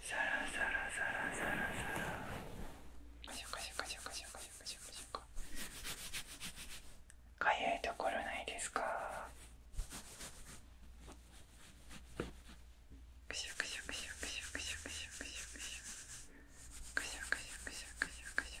サラサラサラサラサラシャカシャカシャカシャカシャカシかゆいところないですかクシャクシャクシャクシャクシャクシャクシャクシャクシャクシャクシャクシャクシャクシ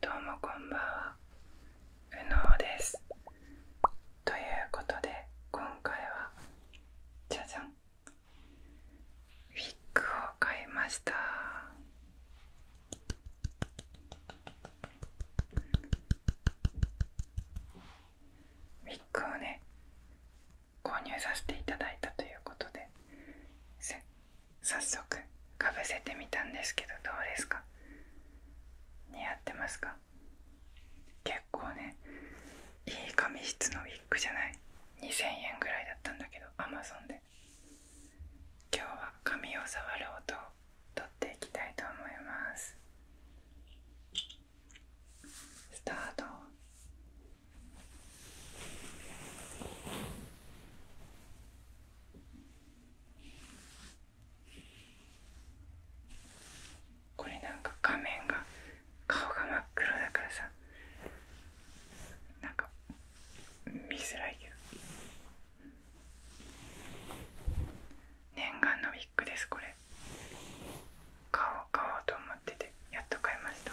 どうもこんばんはうのうですということで今回はじゃじゃんウィッグを買いましたウィッグをね購入させていただいたということで早速かぶせてみたんですけどどうですか似合ってますか結構ねいい髪質のウィッグじゃない2000円ぐらいだったんだけどアマゾンで今日は髪を触る音をとっていきたいと思いますスタートこれなんか画面が顔が真っ黒だからさなんか見づらいよ。念願のウィッグですこれ買おう買おうと思っててやっと買いました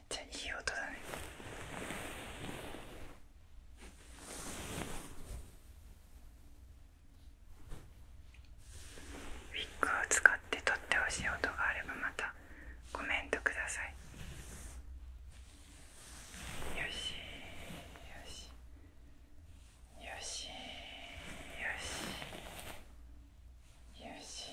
めゃいい音だねウィッグを使ってとってほしい音があればまたコメントくださいよしよしよしよしよしよしよし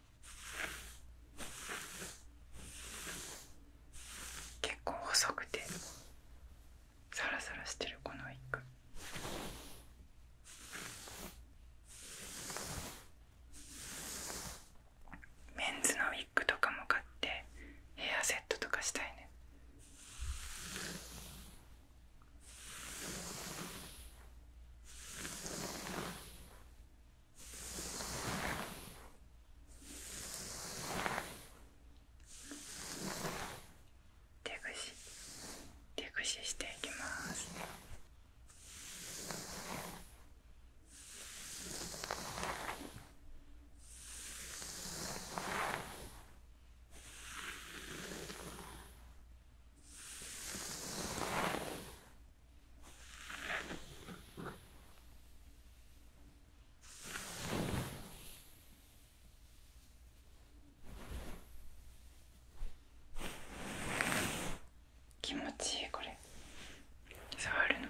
結構細くてサラサラしてるこのウィッグ。メンズのウィッグとかも買ってヘアセットとかしたいね手ぐし手ぐししていきます気持ちいいこれ触るの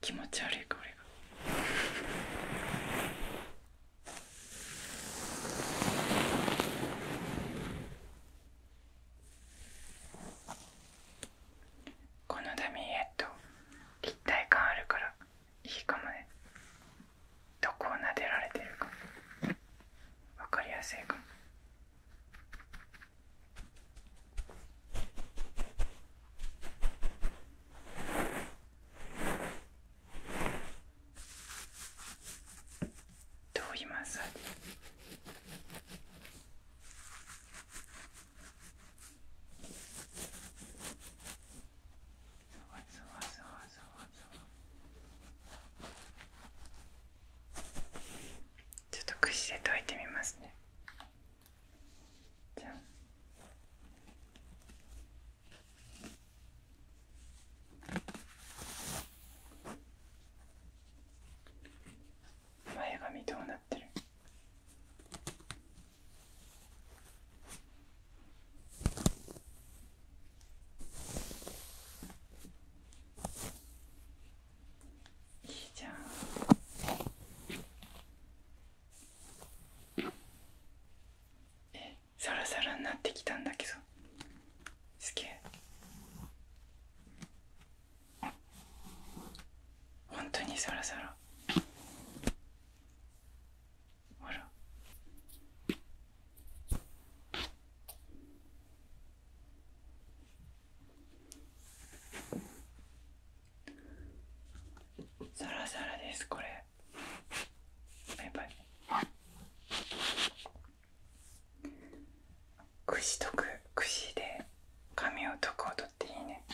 気持ち悪いこれがこのダミーエット、立体感あるからいいかもねどこをなでられてるかわかりやすいかもどう言いますちょっと串で解いてみますねじゃん前髪どうなってるいいじゃんえサラサラになってきたんだけどすげえほにサラサラほらサラサラですこれバイバイ串とく串で髪をとく音っていいね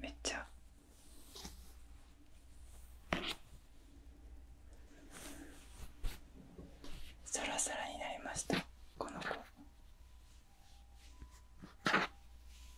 めっちゃサラサラになりましたこの子。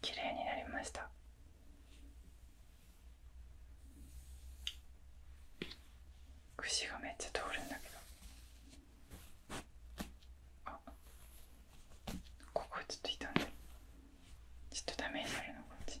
綺麗になりました串がめっちゃ通るんだけどあここちょっと痛んでちょっとダメになるのこっち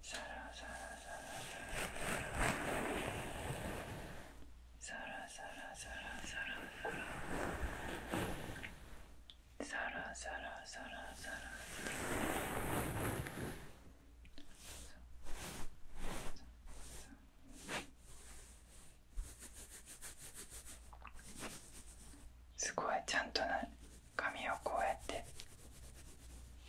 サラサラサラサラサラサラサラすごいちゃんとな髪をこうやって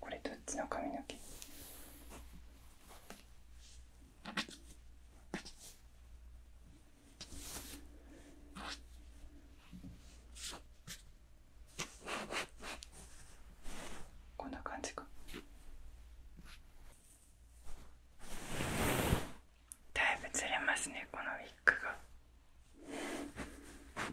これどっちの髪の毛こんな感じかだいぶずれますねこのウィッグが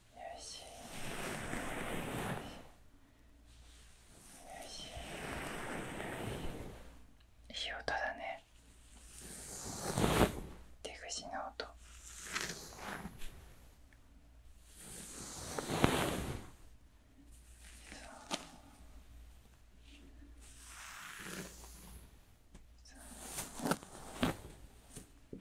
しいい音だね出口の音そう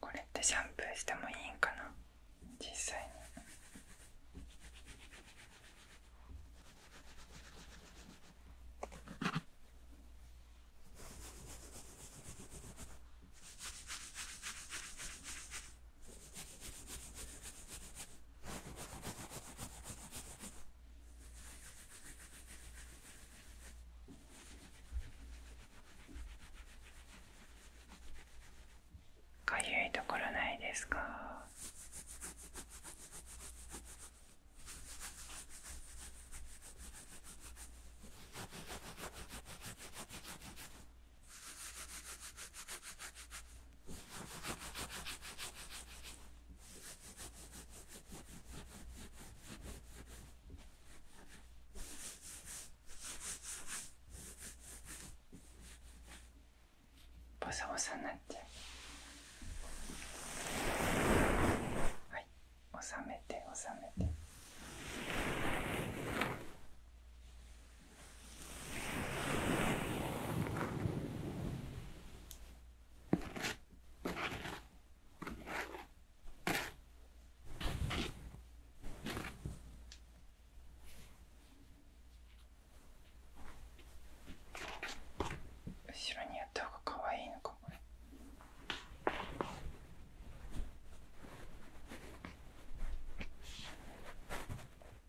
これってシャンプーしてもいいんかな実際に。かゆいところないですかボサボサになっちゃうはい収めて収めて後ろにやった方が可愛いのかもね。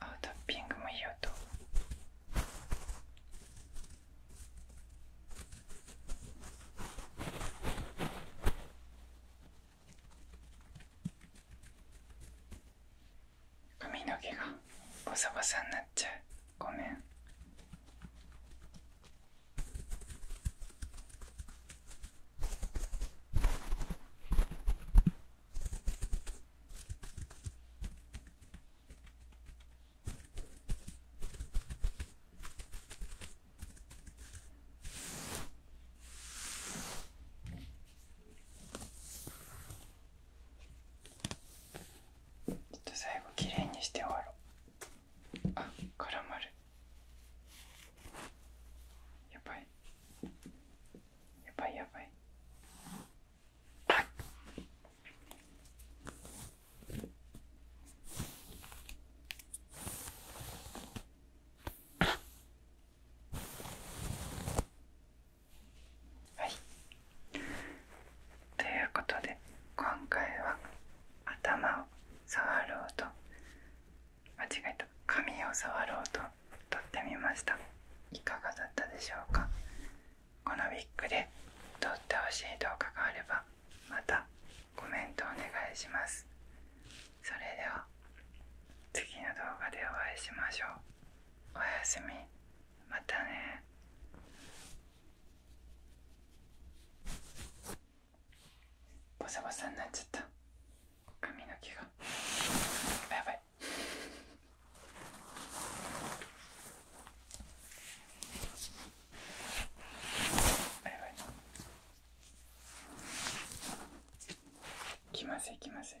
アウトピングもいい音髪の毛がボサボサになっちゃうごめんちょっと最後きれいにして終わろう。あ絡まるやばいやばいやばいはいということで今回は頭を触ろうと。間違えた髪を触ろうとってみましたいかがだったでしょうかこのウィッグで撮ってほしい動画があればまたコメントお願いしますそれでは次の動画でお会いしましょうおやすみまたねボサボサになっちゃった髪の毛がやばいやばい来ません来ません